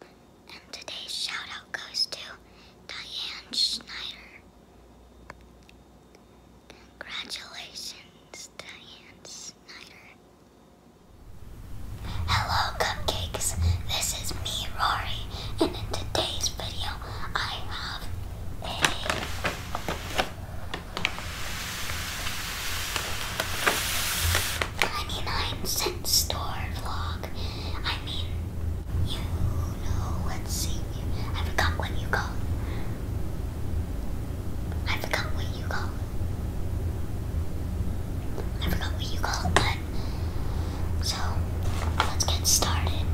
And today's shout out goes to Diane Schneider. Congratulations, Diane Snyder. Hello, cupcakes. This is me, Rory, and in today's video, I have a 99 cent store vlog. I mean, you know, let's see. I forgot what you call it. I forgot what you call it. I forgot what you call it, but. So, let's get started.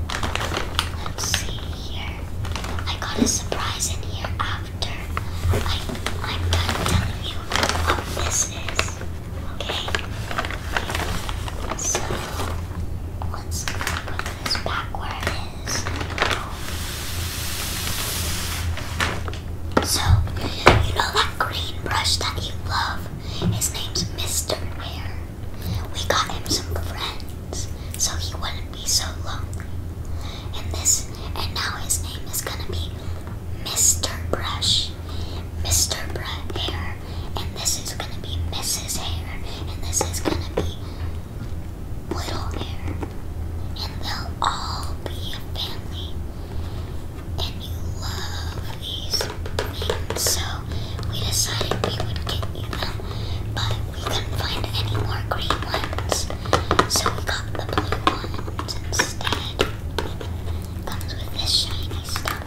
Let's see here. I got a surprise in here after I, I'm done telling you what this is. Okay. So once again, put this back where it is. So you know that green brush that you love? His name's Mr. Air. We got him some friends so he wouldn't be so lonely. And this and now his name is gonna be Mr. Brush. Mr. Brett Hair, and this is gonna be Mrs. Hair, and this is gonna be Little Hair, and they'll all be a family. And you love these things, so we decided we would get you them, but we couldn't find any more green ones, so we got the blue ones instead comes with this shiny stuff.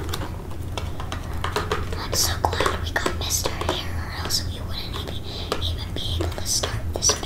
I'm so glad we got Mr. Here, or else we wouldn't even, be able to start this band.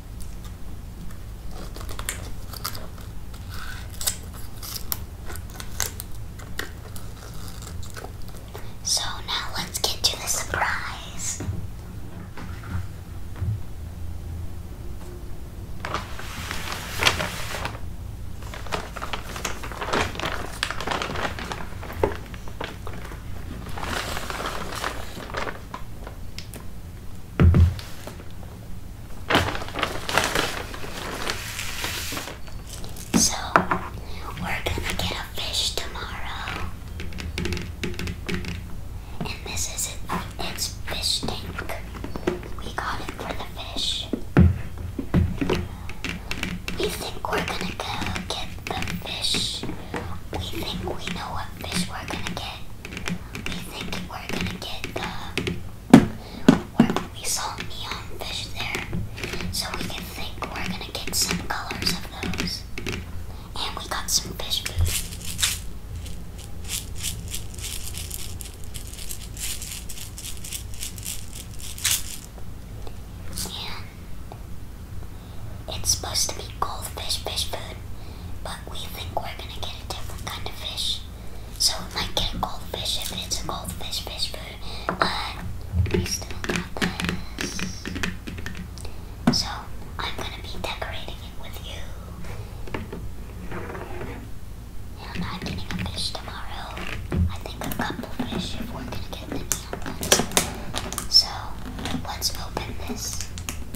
So now let's get to the surprise. So, we're gonna get a fish tomorrow. And this is it, it's fish tank. We got it for the fish. We think we're gonna go get the fish. We think we know what fish we're gonna get we think we're gonna get the where we saw neon fish there, so we can think we're gonna get some colors of those. And we got some fish food. And it's supposed to be goldfish fish food, but we think we're gonna get a different kind of fish. So we might get a goldfish if it's a goldfish fish food, but we still got this. So I'm gonna be decorating it with you. And I'm getting a fish tomorrow. I think a couple fish if we're gonna get the neon So let's open this.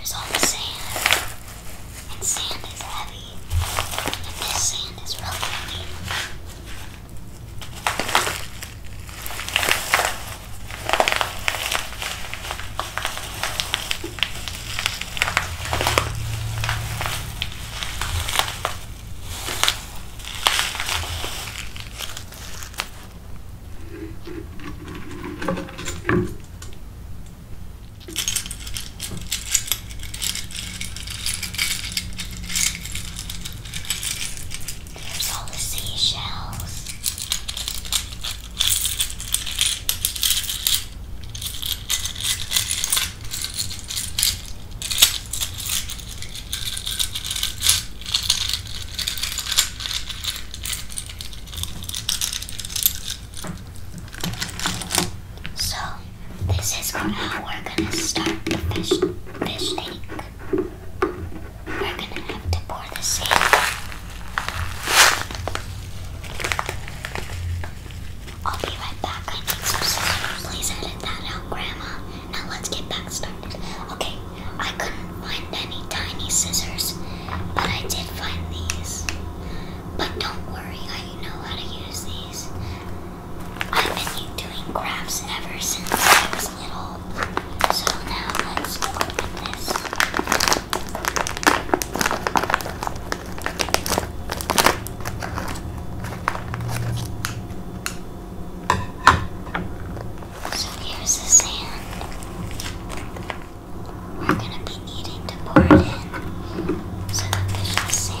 Here's all the sand. And sand is heavy. And this sand is really heavy. There's all seashells. So this is how we're gonna start the fish fish tank. We're gonna have to pour the sand. I'll be right back. I need some scissors. Please edit that out, Grandma. Now let's get back started. Okay, I couldn't find any tiny scissors, but I did find these. But don't worry, I I know how to use these. I've been doing crafts ever since I was little. So now let's open this. So here's the sand. We're gonna be needing to board in so the fish will sink.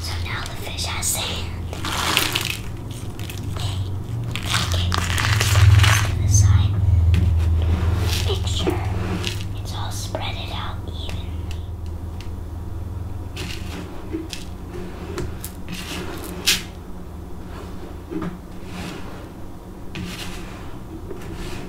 So now the fish has sand. Okay. Okay. Let's do Make sure it's all spread out evenly.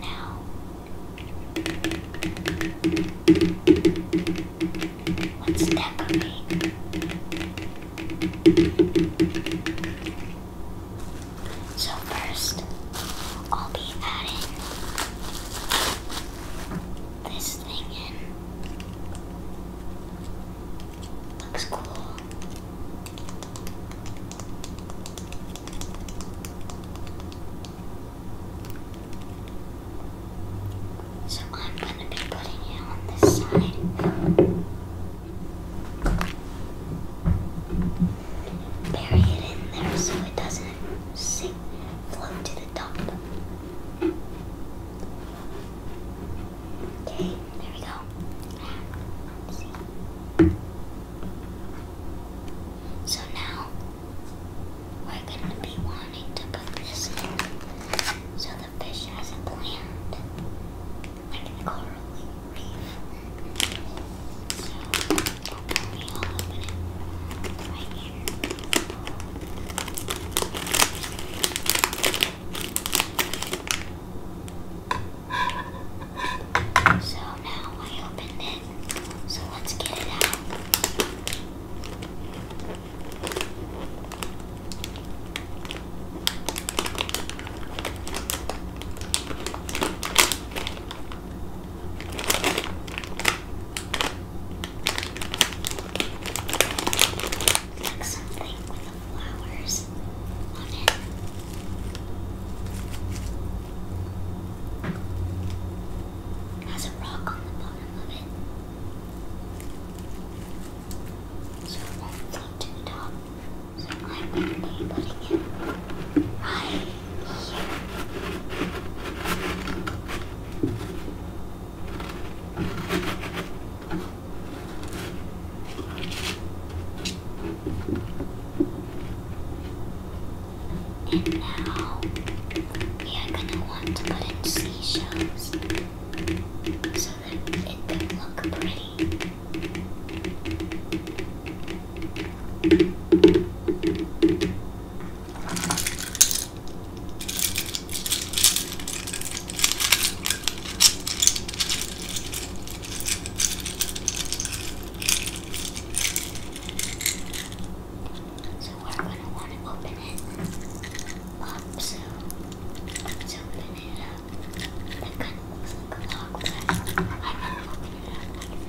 Now, let's decorate. So first, I'll be adding this thing in. Looks cool. So I'm gonna be putting it on this side. Bury it in there so it doesn't sink, float to the top. Okay, there we go. let So now we're gonna be wanting to put this in so the fish has a plant. Like in the coral reef. So hopefully I'll right here. So now I opened it. So let's get it out like something with the flowers on it. Has a rock on the bottom of it, so it won't float to the top. So I will be putting it right here. And now we are gonna want to put in seashells so that it can look pretty. So we're gonna want to open it up so let's open it up. That kind of looks like a lock, but I'm gonna open it up like this.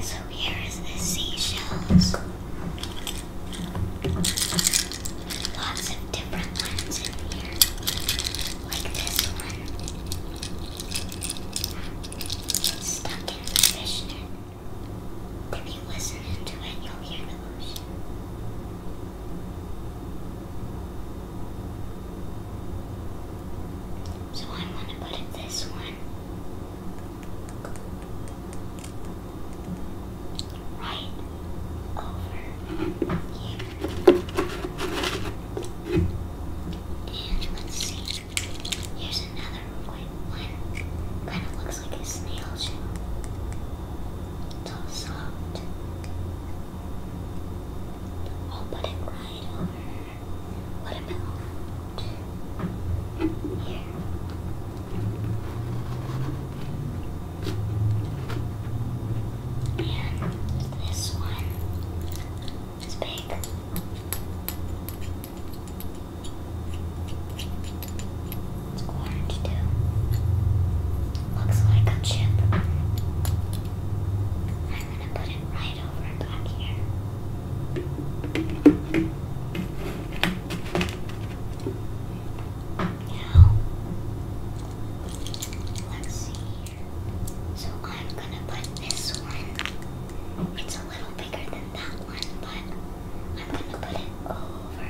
So here's the seashells. Lots of different ones in here. Like this one. stuck in the fishnet. If you listen into it, you'll hear the ocean. So I want to put it this one right over here. And let's see. Here's another white one. Kind of looks like a snail shell. It's all soft. I'll put it right over what about here? And this one is big. It's orange too. Looks like a chip. I'm gonna put it right over back here let's see So I'm gonna put this one. It's a little bigger than that one, but I'm gonna put it over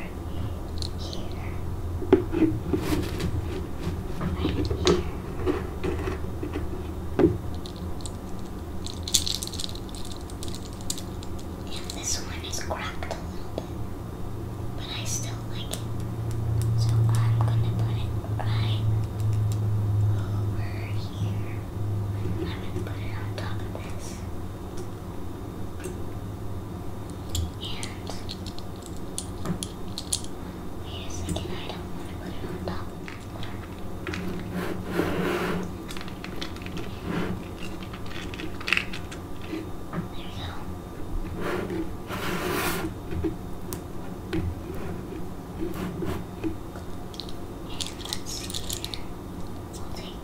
here. Right here. And this one is cracked a little bit, but I still like it. So I'm gonna put it right over here. I'm gonna put it on top of this. And wait a second, I don't want to put it on top of and let's see here. We'll take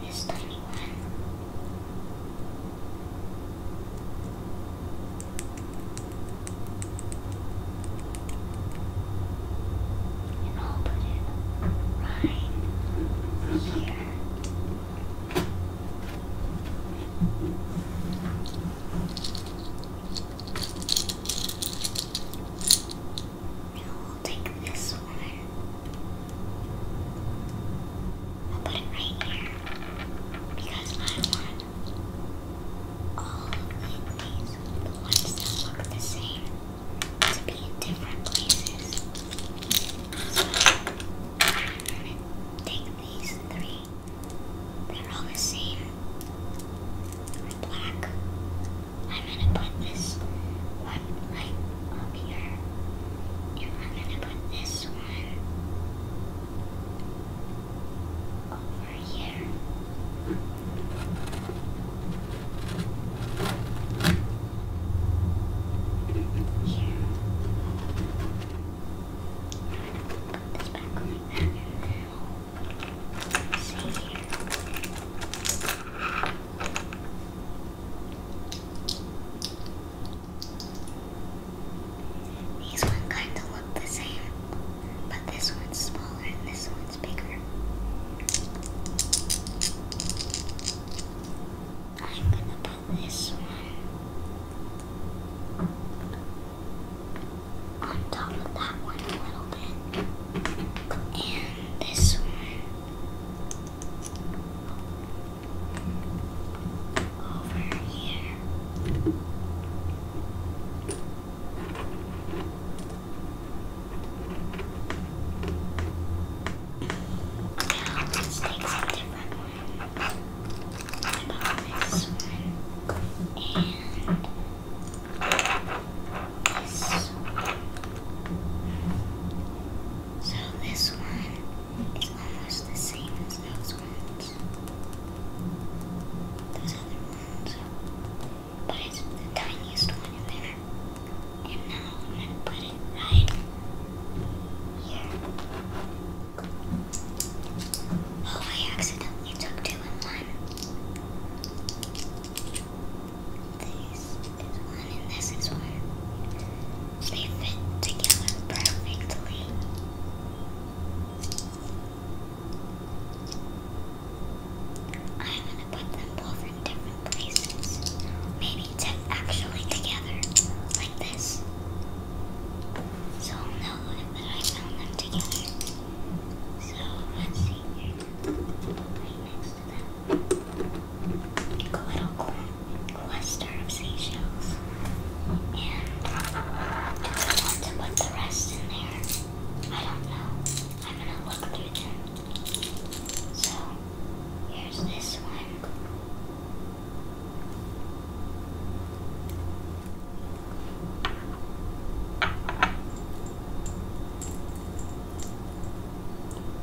this tiny one. And and I'll put it right here. Now we'll take this one. I'll put it right here because I want all of these, the ones that look the same, to be in different places. I'm gonna take these three. They're all the same. They're black. I'm gonna put this one right up here. And I'm gonna put this one over over here. Here. this back These ones kind of look the same. But this one's smaller and this one's bigger. I'm gonna put this one on top of that one a little bit. And this one over here. Now let's take some different one and this one. So this one is almost the same as those ones. Those other ones but it's the tiniest one in there. And now I'm going to put it right here. Oh, I accidentally took two in one. This is one and this is one. They fit together perfectly. I'm gonna put them both in different places. Maybe to actually together, like this. So I'll know that I found them together. So let's see here. Right next to them. A little cluster of seashells. And I want to put the rest in there. I don't know. I'm gonna look through them. So, here's this one.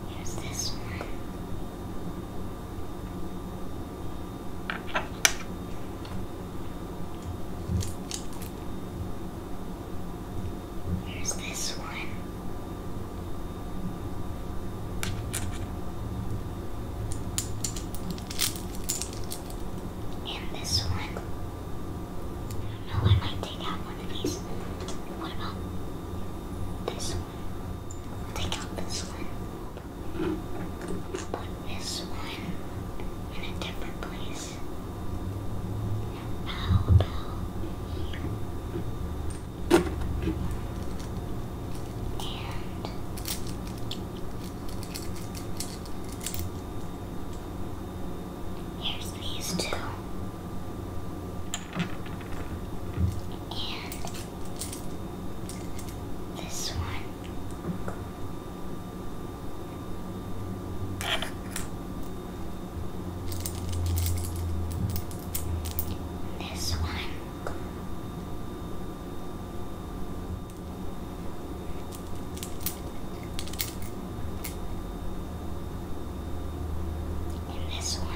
Here's this one. Here's this one. And this one. I don't know, I might take out one of these. What about this one? take out this one this one in a different place. How about here? And here's these two. And this one. This one. And this one.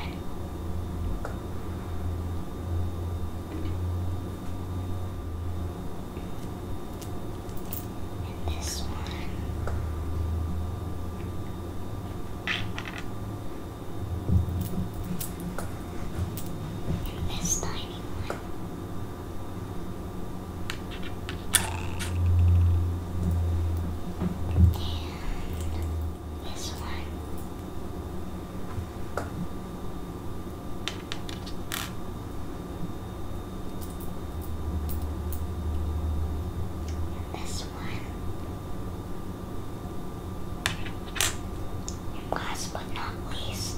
And this one. And this one. And this one. This one. Last but not least,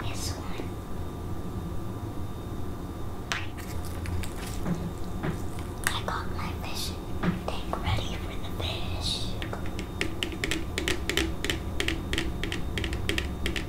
this one. I got my fish tank ready for the fish.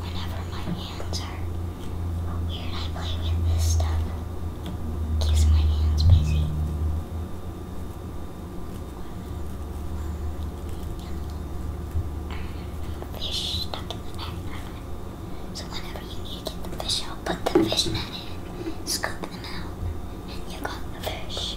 Whenever my hands are weird, I play with this stuff. Keeps my hands busy fish stuck in the net. So whenever you need to get the fish out, put the fish net in, scoop them out, and you got the fish.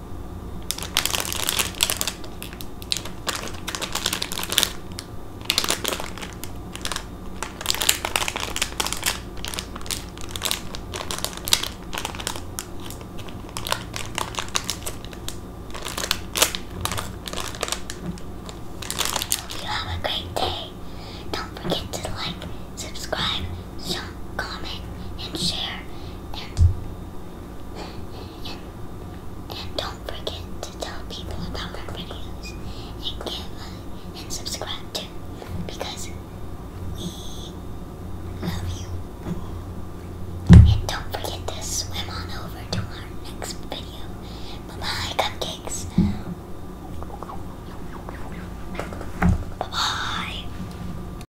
Hope you have a great day. Don't forget to like, subscribe, comment, and share. And, don't forget to tell people about our videos and give uh, and subscribe too because we love you. And don't forget to swim on over to our next video. Bye bye, cupcakes. Bye bye.